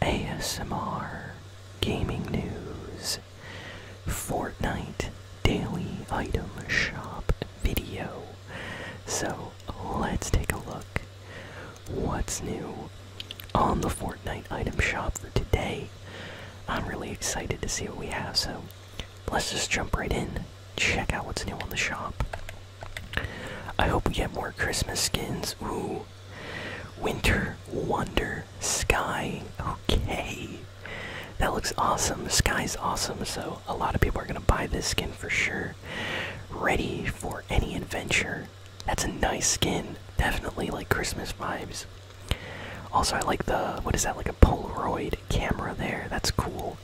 ASMR, gaming news, Fortnite daily item shop video. So let's take a look. What's new on the Fortnite item shop for today? I'm really excited to see what we have, so let's just jump right in, check out what's new on the shop. I hope we get more Christmas skins. Ooh. Winter Wonder Sky. Okay. That looks awesome. Sky's awesome, so a lot of people are going to buy this skin for sure. Ready for any adventure. That's a nice skin. Definitely like Christmas vibes. Also, I like the. What is that? Like a Polaroid camera there. That's cool.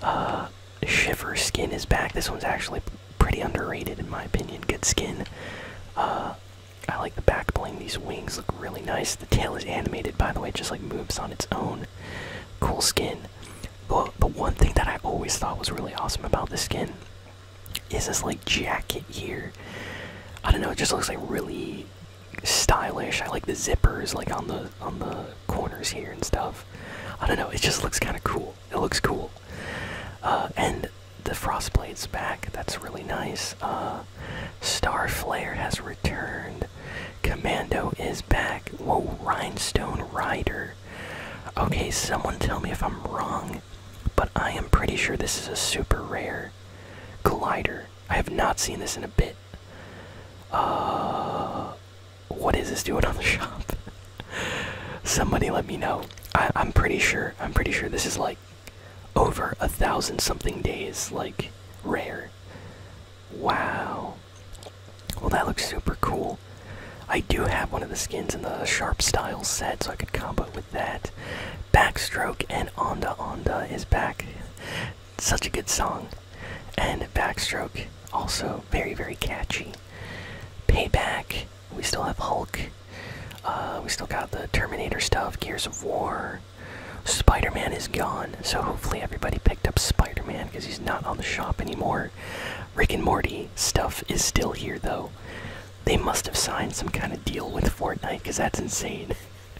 Uh, Shiver skin is back. This one's actually pretty underrated in my opinion. Good skin. Uh, I like the back bling. These wings look really nice. The tail is animated, by the way, just like moves on its own. Cool skin. But the one thing that I always thought was really awesome about this skin is this like jacket here. I don't know. It just looks like really stylish. I like the zippers like on the on the corners here and stuff. I don't know. It just looks kind of cool. It looks cool. Uh, and the frost blades back. That's really nice. Uh, Star flare has returned. Commando is back. Whoa, Rhinestone Rider. Okay, someone tell me if I'm wrong, but I am pretty sure this is a super rare glider. I have not seen this in a bit. Uh, what is this doing on the shop? Somebody let me know. I, am pretty sure. I'm pretty sure this is like over a thousand something days, like rare. Wow. Well, that looks super cool. I do have one of the skins in the sharp style set, so I could combo with that. Backstroke and Onda Onda is back. Such a good song. And Backstroke, also very, very catchy. Payback. We still have Hulk. Uh, we still got the Terminator stuff, Gears of War. Spider Man is gone, so hopefully everybody picked up Spider Man because he's not on the shop anymore. Rick and Morty stuff is still here though. They must have signed some kind of deal with Fortnite because that's insane.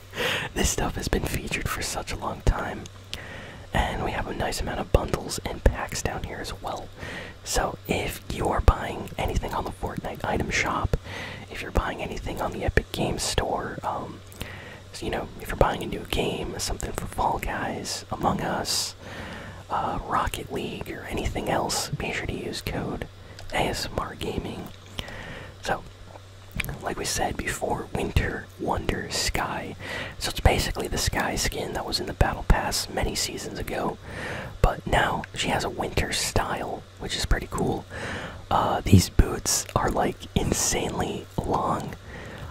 this stuff has been featured for such a long time. And we have a nice amount of bundles and packs down here as well. So if you are buying anything on the Fortnite item shop, if you're buying anything on the Epic Games Store, um, you know, if you're buying a new game, something for Fall Guys, Among Us, uh, Rocket League, or anything else, be sure to use code ASMR Gaming. So, like we said before, winter Winter Sky. So it's basically the Sky skin that was in the Battle Pass many seasons ago, but now she has a winter style, which is pretty cool. Uh, these boots are like insanely long.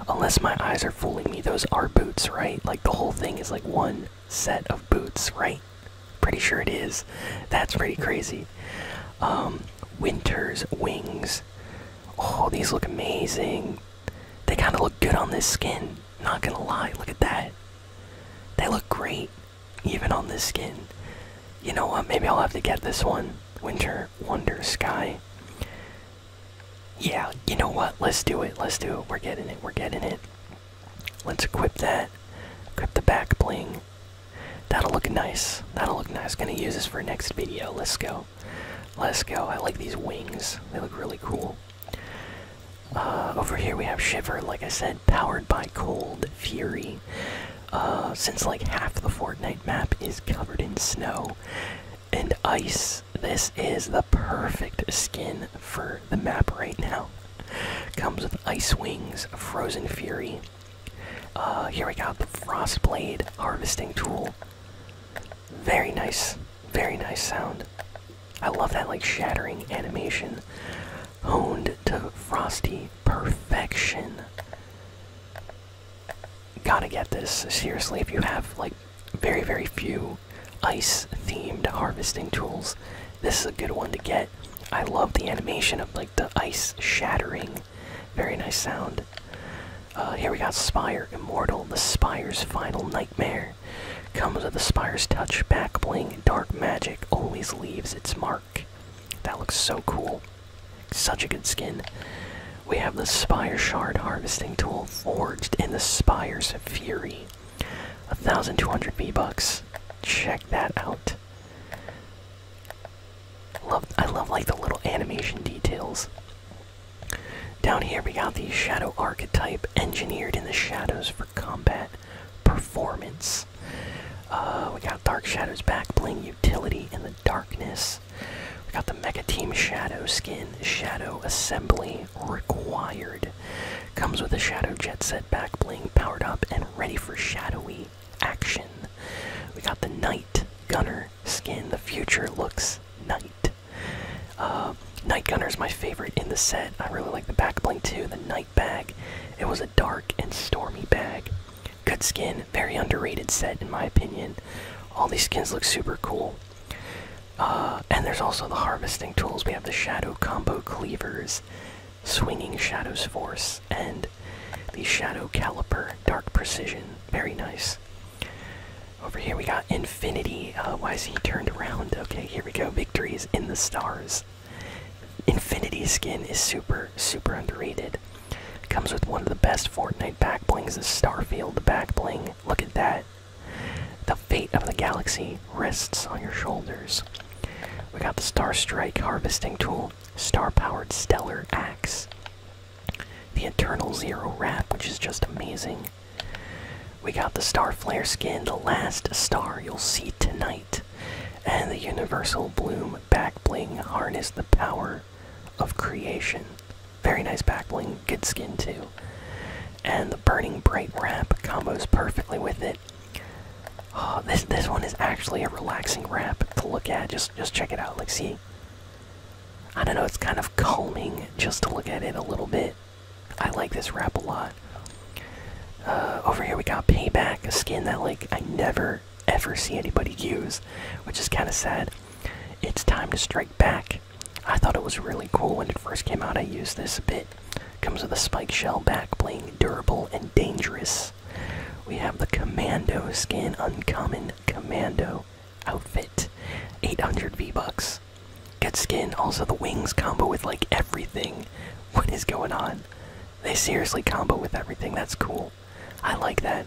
Unless my eyes are fooling me, those are boots, right? Like the whole thing is like one set of boots, right? Pretty sure it is. That's pretty crazy. Um, winter's wings. Oh, these look amazing. They kind of look good on this skin. Not gonna lie, look at that. They look great, even on this skin. You know what? Maybe I'll have to get this one. Winter Wonder Sky. Yeah, you know what? Let's do it. Let's do it. We're getting it. We're getting it. Let's equip that. Equip the back bling. That'll look nice. That'll look nice. Gonna use this for next video. Let's go let's go. I like these wings, they look really cool. Uh, over here we have Shiver, like I said, powered by Cold Fury. Uh, since like half the Fortnite map is covered in snow and ice, this is the perfect skin for the map right now. Comes with Ice Wings, Frozen Fury. Uh, here we go: the frost blade Harvesting Tool. Very nice. Very nice sound. I love that like shattering animation. Honed to frosty perfection. Gotta get this. Seriously, if you have like very, very few ice themed harvesting tools, this is a good one to get. I love the animation of like the ice shattering. Very nice sound. Uh, here we got Spire Immortal, the Spire's final nightmare. Comes with the Spire's touch, back bling, dark magic, always leaves its mark. That looks so cool. Such a good skin. We have the Spire Shard Harvesting Tool forged in the Spire's Fury. 1200 V-Bucks. Check that out. Love, I love like the little animation details. Down here we got the Shadow archetype engineered in the shadows for combat performance. Uh, we got Dark Shadow's back bling utility in the darkness. We got the Mega Team Shadow skin, Shadow Assembly required. Comes with a Shadow Jet Set back bling powered up and ready for shadowy action. We got the Knight Gunner skin. The future looks night. Uh, night Gunner is my favorite in the set. I really like the back bling too. The night bag. It was a dark and stormy bag. Good skin. Very underrated set in my opinion. All these skins look super cool. Uh, and there's also the harvesting tools. We have the shadow combo cleavers, swinging shadows force, and the Shadow Caliper Dark Precision. Very nice. Over here we got Infinity. Uh, why is he turned around? Okay, here we go. Victory is in the stars. Infinity skin is super, super underrated. Comes with one of the best Fortnite back blings, the Starfield back bling. Look at that. The fate of the galaxy rests on your shoulders. We got the Star Strike harvesting tool, Star Powered Stellar Axe the Eternal Zero wrap, which is just amazing. We got the Star Flare skin, the last star you'll see tonight, and the Universal Bloom back bling harness the power of creation. Very nice back bling, good skin too. And the Burning Bright wrap combos perfectly with it. Oh, this this one is actually a relaxing wrap to look at. Just just check it out. Let's see I don't know, it's kind of calming just to look at it a little bit. I like this wrap a lot. Uh, over here we got Payback, a skin that like I never ever see anybody use, which is kind of sad. It's time to strike back. I thought it was really cool when it first came out. I used this a bit. Comes with a spike shell back bling, durable and dangerous. We have the Commando skin, Uncommon Commando outfit. 800 V-Bucks. Good skin. Also, the wings combo with like everything. What is going on? They seriously combo with everything. That's cool. I like that.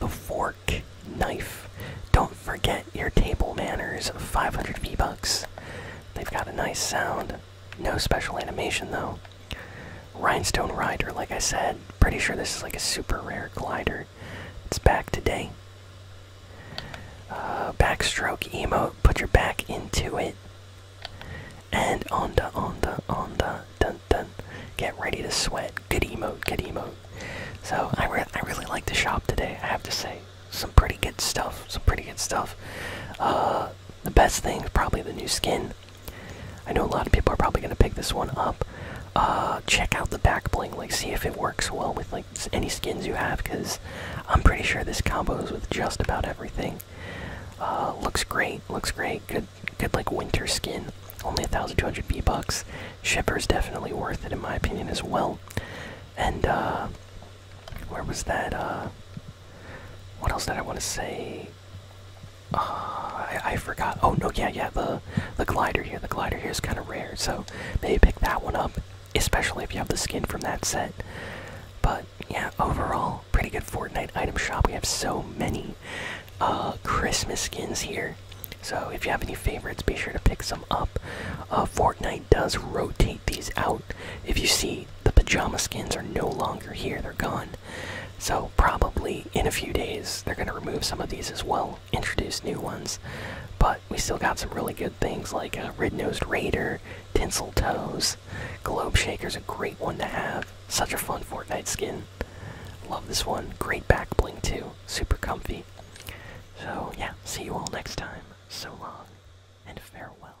The fork, knife. Don't forget your table manners. 500 V-Bucks. They've got a nice sound. No special animation though. Rhinestone Rider, like I said, pretty sure this is like a super rare glider. It's back today. Uh, backstroke emote, put your back into it. And onda, onda, onda, dun dun. Get ready to sweat. Good emote, good emote. So I, re I really like the shop today, I have to say. Some pretty good stuff, some pretty good stuff. Uh, the best thing is probably the new skin. I know a lot of people are probably gonna pick this one up. Uh, check out the back bling, like see if it works well with like any skins you have, because I'm pretty sure this combos with just about everything. Uh, looks great, looks great. Good, good like winter skin. Only 1,200 B bucks. Shipper's definitely worth it in my opinion as well. And uh, where was that? What else did I want to say? Uh, I, forgot. Oh no, yeah, yeah. The the glider here, the glider here is kind of rare, so maybe pick that one up, especially if you have the skin from that set. But yeah, overall, pretty good Fortnite item shop. We have so many uh, Christmas skins here. So if you have any favorites, be sure to pick some up. Uh, Fortnite does rotate these out. If you see the pajama skins are no longer here. They're gone. So probably in a few days they're gonna remove some of these as well, introduce new ones. But we still got some really good things like a uh, Red-Nosed Raider, Tinseltoes, Globe Shaker's a great one to have. Such a fun Fortnite skin. Love this one. Great back bling too. Super comfy. So yeah, see you all next time. So long and farewell.